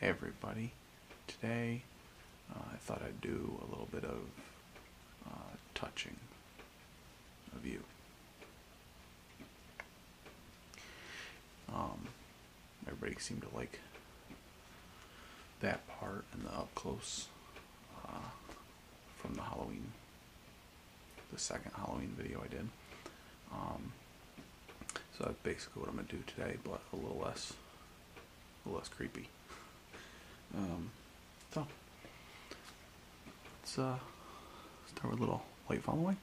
everybody, today uh, I thought I'd do a little bit of uh, touching of you. Um, everybody seemed to like that part and the up close uh, from the Halloween, the second Halloween video I did. Um, so that's basically what I'm gonna do today, but a little less, a little less creepy. Um, so let's uh, start with a little light following.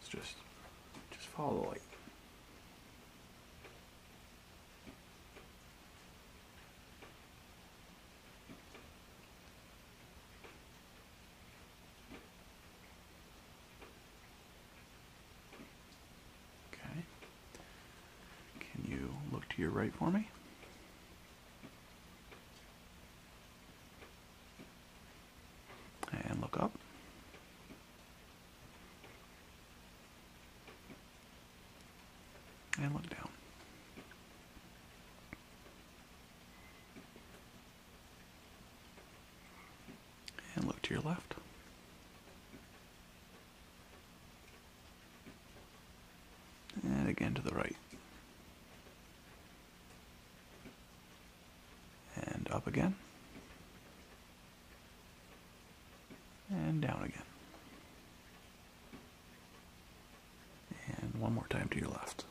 It's just, just follow the light. Okay. Can you look to your right for me? and look up. And look down. And look to your left. And again to the right. And up again. And down again. And one more time to your left.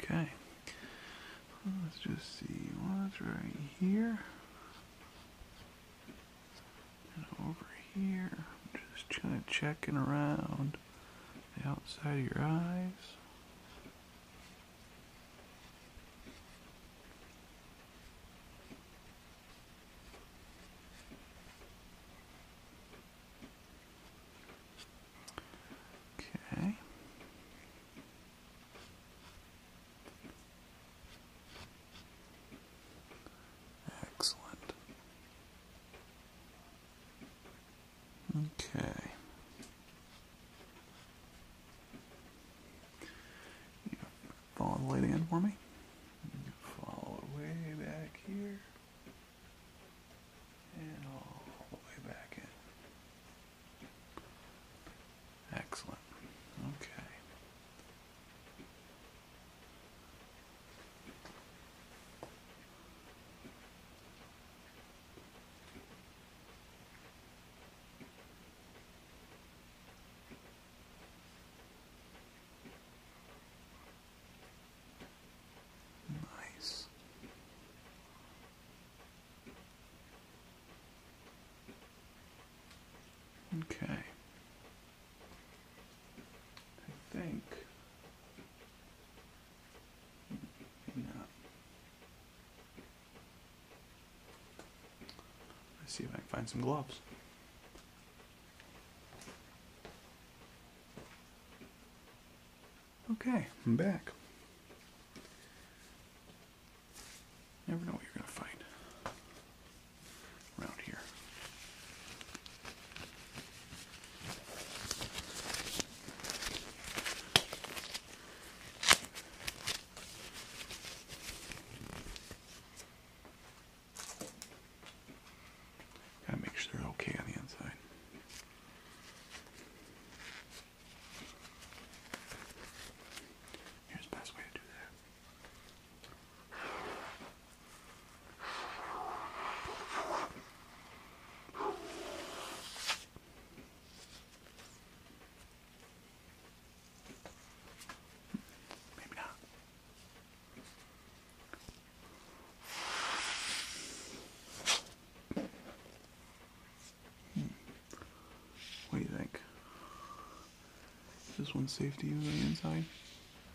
Okay. Let's just see what's right here. And over here. just kind of checking around the outside of your eyes. Okay. Excellent. Okay. You follow the light for me. follow it way back here. And all the way back in. Excellent. Okay. Nice. Okay. I think. Maybe not. Let's see if I can find some gloves. Okay, I'm back. Never know what you're gonna find around here. make sure they're okay on the inside. Here's the best way to do that. Maybe not. Hmm. What do you think? Is this one safe to use on the inside?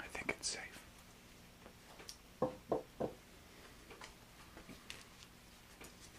I think it's safe.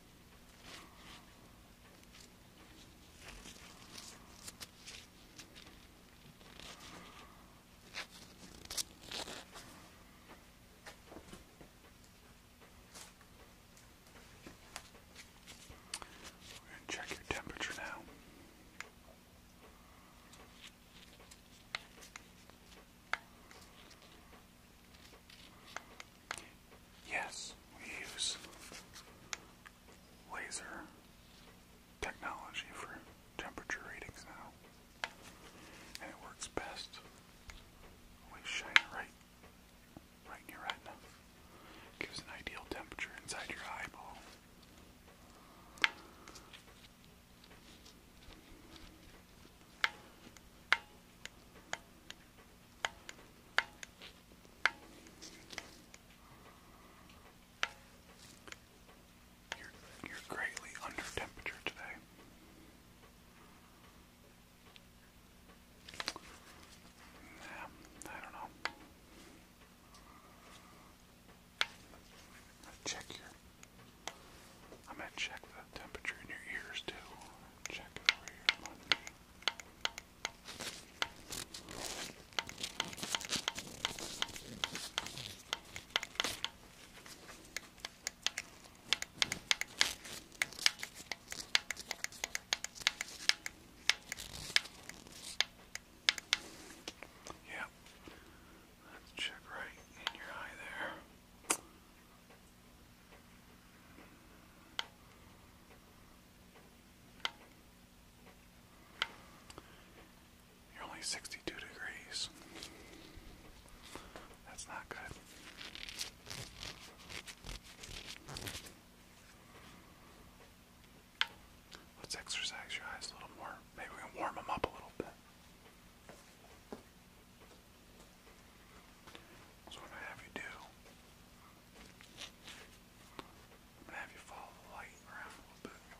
We're going to check your temperature now. Yes, we use laser technology for temperature readings now, and it works best. when shine it right, right in your retina. Gives an ideal temperature inside your eyeball. You're, you're greatly under temperature today. Yeah, I don't know. I'm gonna check your. I'm gonna check the temperature in your ears too check it over here on me. Yeah, let's check right in your eye there. You're only 62 degrees. That's not good. Let's exercise your eyes a little more. Maybe we can warm them up a little bit. So what I'm going to have you do, I'm going to have you follow the light around a little bit. Now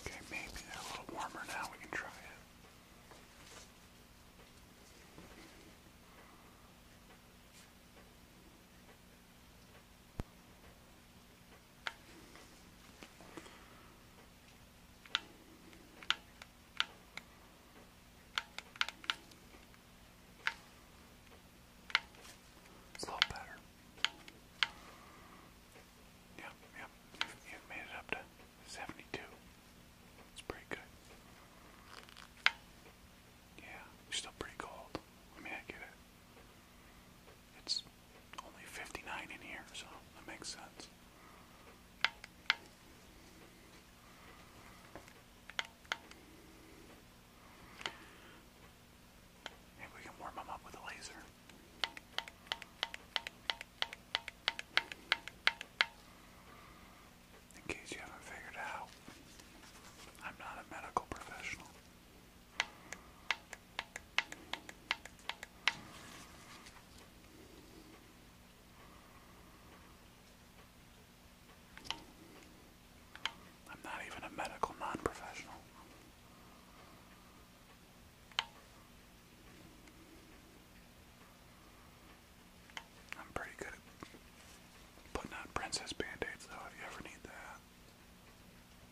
Okay, maybe they're a little warmer now. We can try it. It's a lot better. Yep, yep. You've, made it up to 72. It's pretty good. Yeah, you still pretty cold. I mean, I get it. It's only 59 in here, so that makes sense. Maybe we can warm them up with a laser. In case you haven't figured out, I'm not a medical professional. I'm not even a medical non professional. I'm pretty good at putting on princess band-aids though if you ever need that.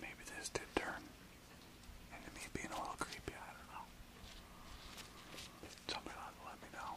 Maybe this did turn into me being a little creepy, I don't know. Somebody ought to let me know.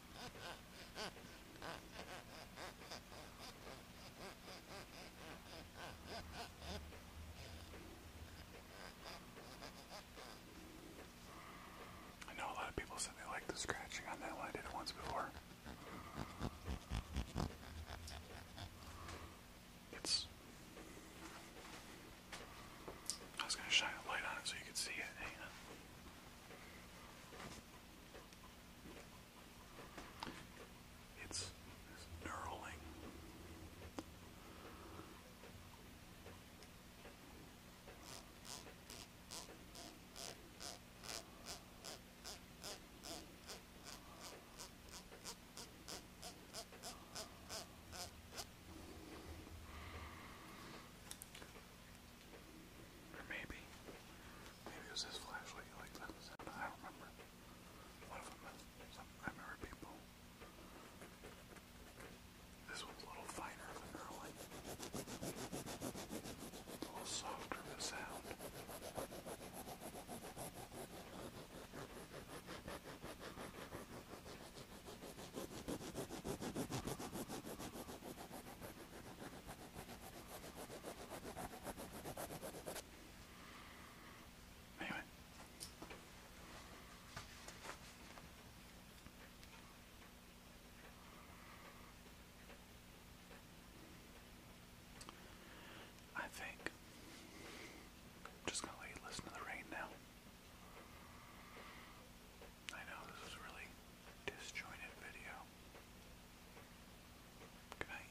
I know a lot of people said they liked the scratching on that one. I did it once before. It's I was going to shine a light on it so you could see it. it's knurling. Or maybe, maybe it was this flashlight you that I don't remember. I remember people. This one's a little finer than her one. A little softer the sound. Anyway. I think I'm just gonna let you listen to the rain now. I know this is really disjointed video. Good night.